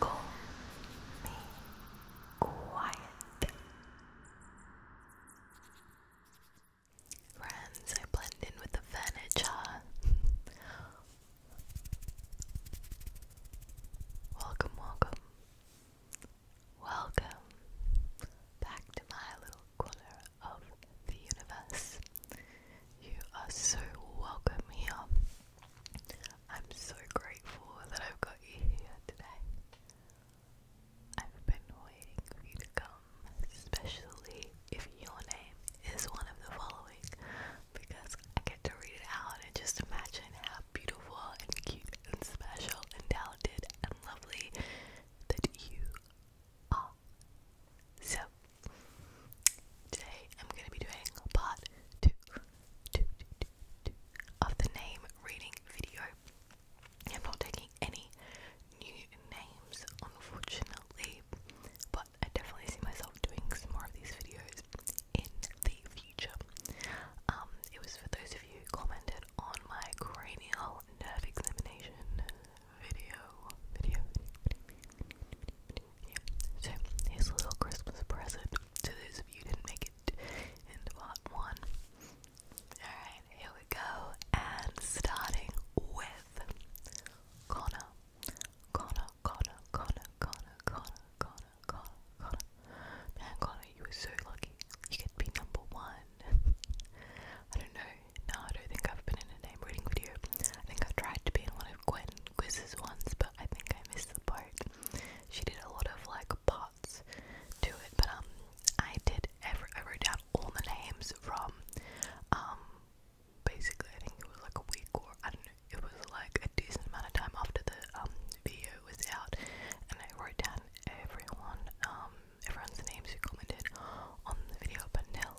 Call me quiet. Friends, I blend in with the furniture. welcome, welcome. Welcome back to my little corner of the universe. You are so welcome here. I'm so grateful that I've got you here today. I've been waiting for you to come, especially if your name is one of the following, because I get to read it out and just imagine how beautiful and cute and special and talented and lovely that you are. So today I'm gonna be doing part two, two, two, two, two of the name reading video. I'm not taking any new names unfortunately, but I definitely see myself doing some more of these videos in the future. Um, it was for those of you who commented on my cranial nerve examination video, video, So, here's a little Christmas present to those of you who didn't make it into part one. Alright, here we go. And starting with Connor. Connor, Connor, Connor, Connor, Connor, Connor, Connor, Connor. Man, Connor, you were so lucky. You could be number one. I don't know. No, I don't think I've been in a name reading video. I think I tried to be in one of Gwen quizzes once, but I think I missed the part. She did a lot of like parts to it, but um, I did every I wrote down all the names from um, basically I think it was like a week or I don't know. It was like a decent amount of time after the um video was out, and I wrote down everyone um everyone's names who commented on the video, but now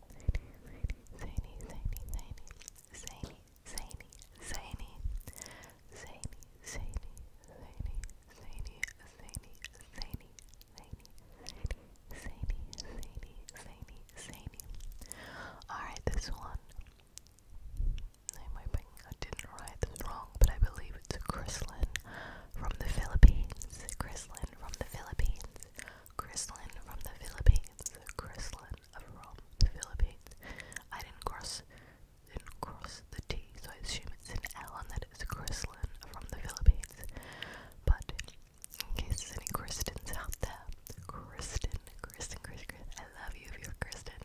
zany, zany, zany, zany, zany, zany, zany, zany, zany, zany, zany, zany, zany, zany, zany, zany, zany. Alright, this one. I'm hoping I didn't write this wrong, but I believe it's Chrislyn from the Philippines. Chrislyn from the Philippines. Chrislyn from the Philippines. Chrislyn from the Philippines. I didn't cross didn't cross the T, so I assume it's an L and that it's Chrislyn from the Philippines. But in case there's any Kristens out there, Kristen, Kristen, Kristen, I love you if you're Kristen.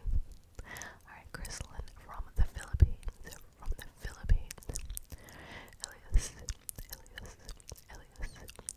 Alright, Chrislyn from the Philippines. From the Philippines. Elias, Elias, Elias,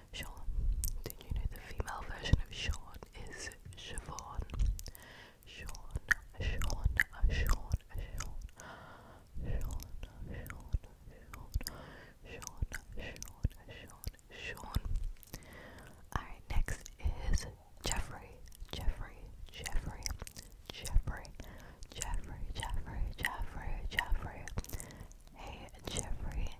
Sean. Do you know the female version of Sean is Siobhan? Sean, Sean, Sean, Sean, Sean, Sean, Sean, Sean, Sean, Sean. Alright, next is Jeffrey, Jeffrey, Jeffrey, Jeffrey, Jeffrey, Jeffrey, Jeffrey, Jeffrey. Hey Jeffrey,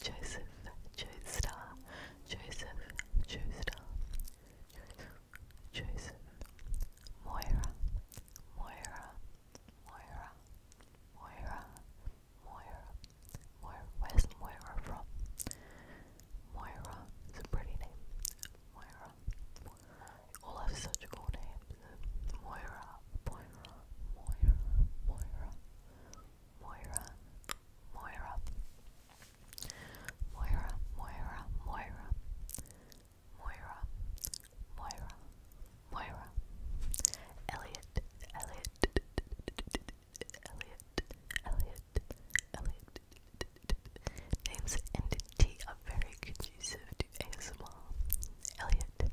Joseph Joestar, Joseph Joestar, Joseph Moira, Moira, Moira, Moira, Moira, Moira. Where's Moira from? Moira is a pretty name. Moira. All have such cool names. Moira, Moira, Moira, Moira. Moira, Moira, Moira, Moira, Moira, Moira, Moira, Moira, Elliot, Elliot, Elliot, Elliot, Elliot. Names and T are very conducive to ASMR. Elliot,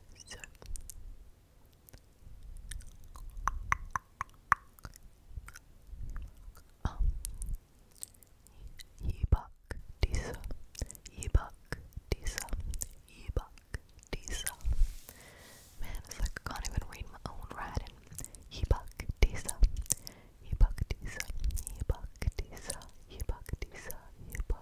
So um Yebak Disa Yebak Disa Yebak Disa Man, it's like I can't even read my own writing. Yebak Disa Yebak Disa Yebak Disa Yebak Disa Yebak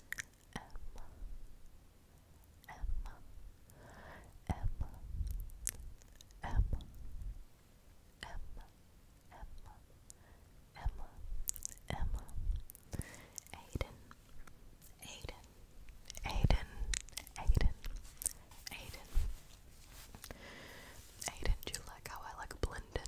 M M M M M Emma, Emma, Aiden, Aiden, Aiden, Aiden, Aiden. Aiden, you like how I like blended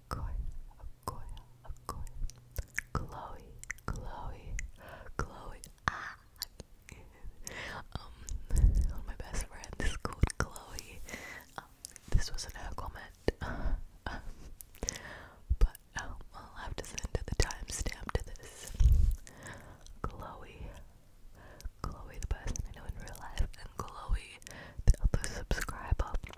Akoya, Chloe, Chloe, Chloe. Ah. um, my best friends is called Chloe. Um, this wasn't her comment, but um, I'll have to send the timestamp to this. Chloe, Chloe, the person I know in real life, and Chloe, the other subscriber.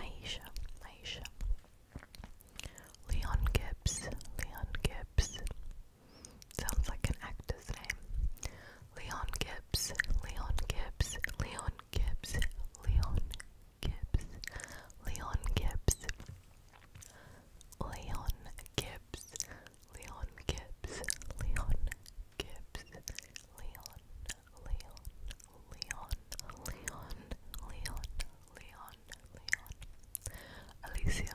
Maisha, Maisha, Leon Gibbs, Leon Gibbs, Sounds like an actor's name. Leon Gibbs, Leon Gibbs, Leon Gibbs, Leon Gibbs, Leon Gibbs, Leon Gibbs, Leon Gibbs, Leon Gibbs, Leon, Leon, Leon, Leon, Leon, Leon, Leon, Alicia,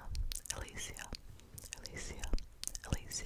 Alicia, Alicia, Alicia.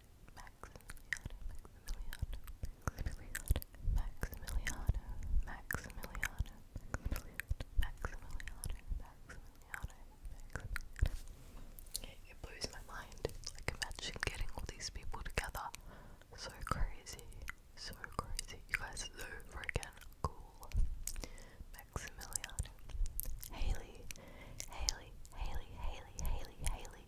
Maximiliano, It blows my mind. Like imagine getting all these people together. So crazy. So crazy. You guys so freaking cool. Maximiliano. Haley. Haley. Haley. Haley. Haley. Haley.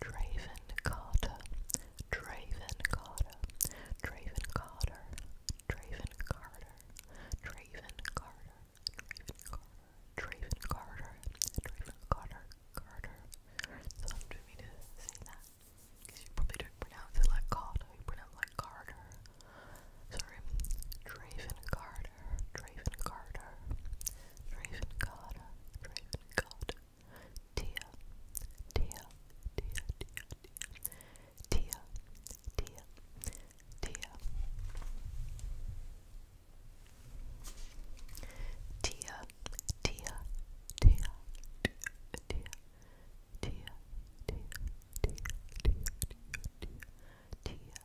Draven Carter, Draven Carter, Draven Carter, Draven Carter, Draven Carter, Draven Carter, Draven Carter, Draven Carter, Carter. It's hard for me to say that because you probably don't pronounce it like Carter, you pronounce it like Carter. Sorry, Draven Carter. Draven Carter, Draven Carter, Draven Carter, Tia, Tia, Tia, Tia, Tia, Tia, Tia, Tia, Tia, Tia, Tia, Tia, Tia, Tia, Tia, Tia, Tia,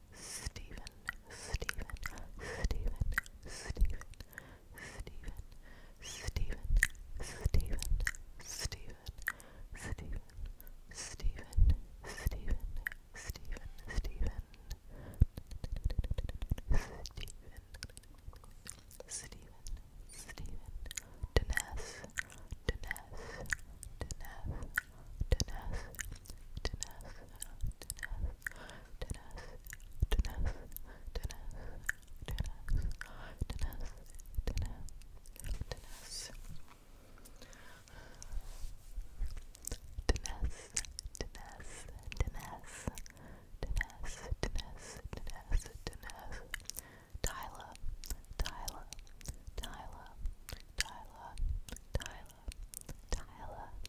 Stephen, Stephen, Stephen, Stephen, Stephen, Stephen, Stephen, Stephen, Stephen, Stephen, Stephen, Stephen, Stephen, Stephen, Stephen, Stephen, Denise, Denise, Denise, Denise, Tyler, Tyler, Tyler, Tyler, Tyler, Tyler,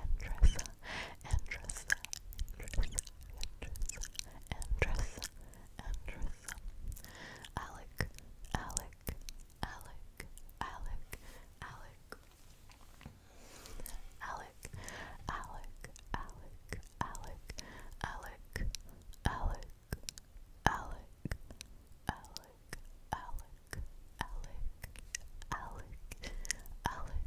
and dress and dress and dress and dress and dress Alec Alec Alec Alec Alec Alec Alec Alec Alec Alec Alec Alec Alec Alec Alec Alec Alec Alec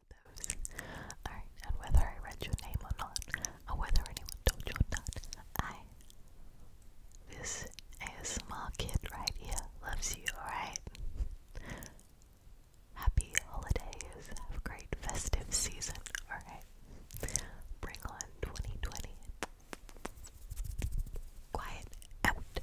those. Alright, and whether I read your name or not, or whether anyone told you or not, I, this ASMR kid right here, loves you, alright? Happy holidays, have great festive season, alright? Bring on 2020. Quiet out.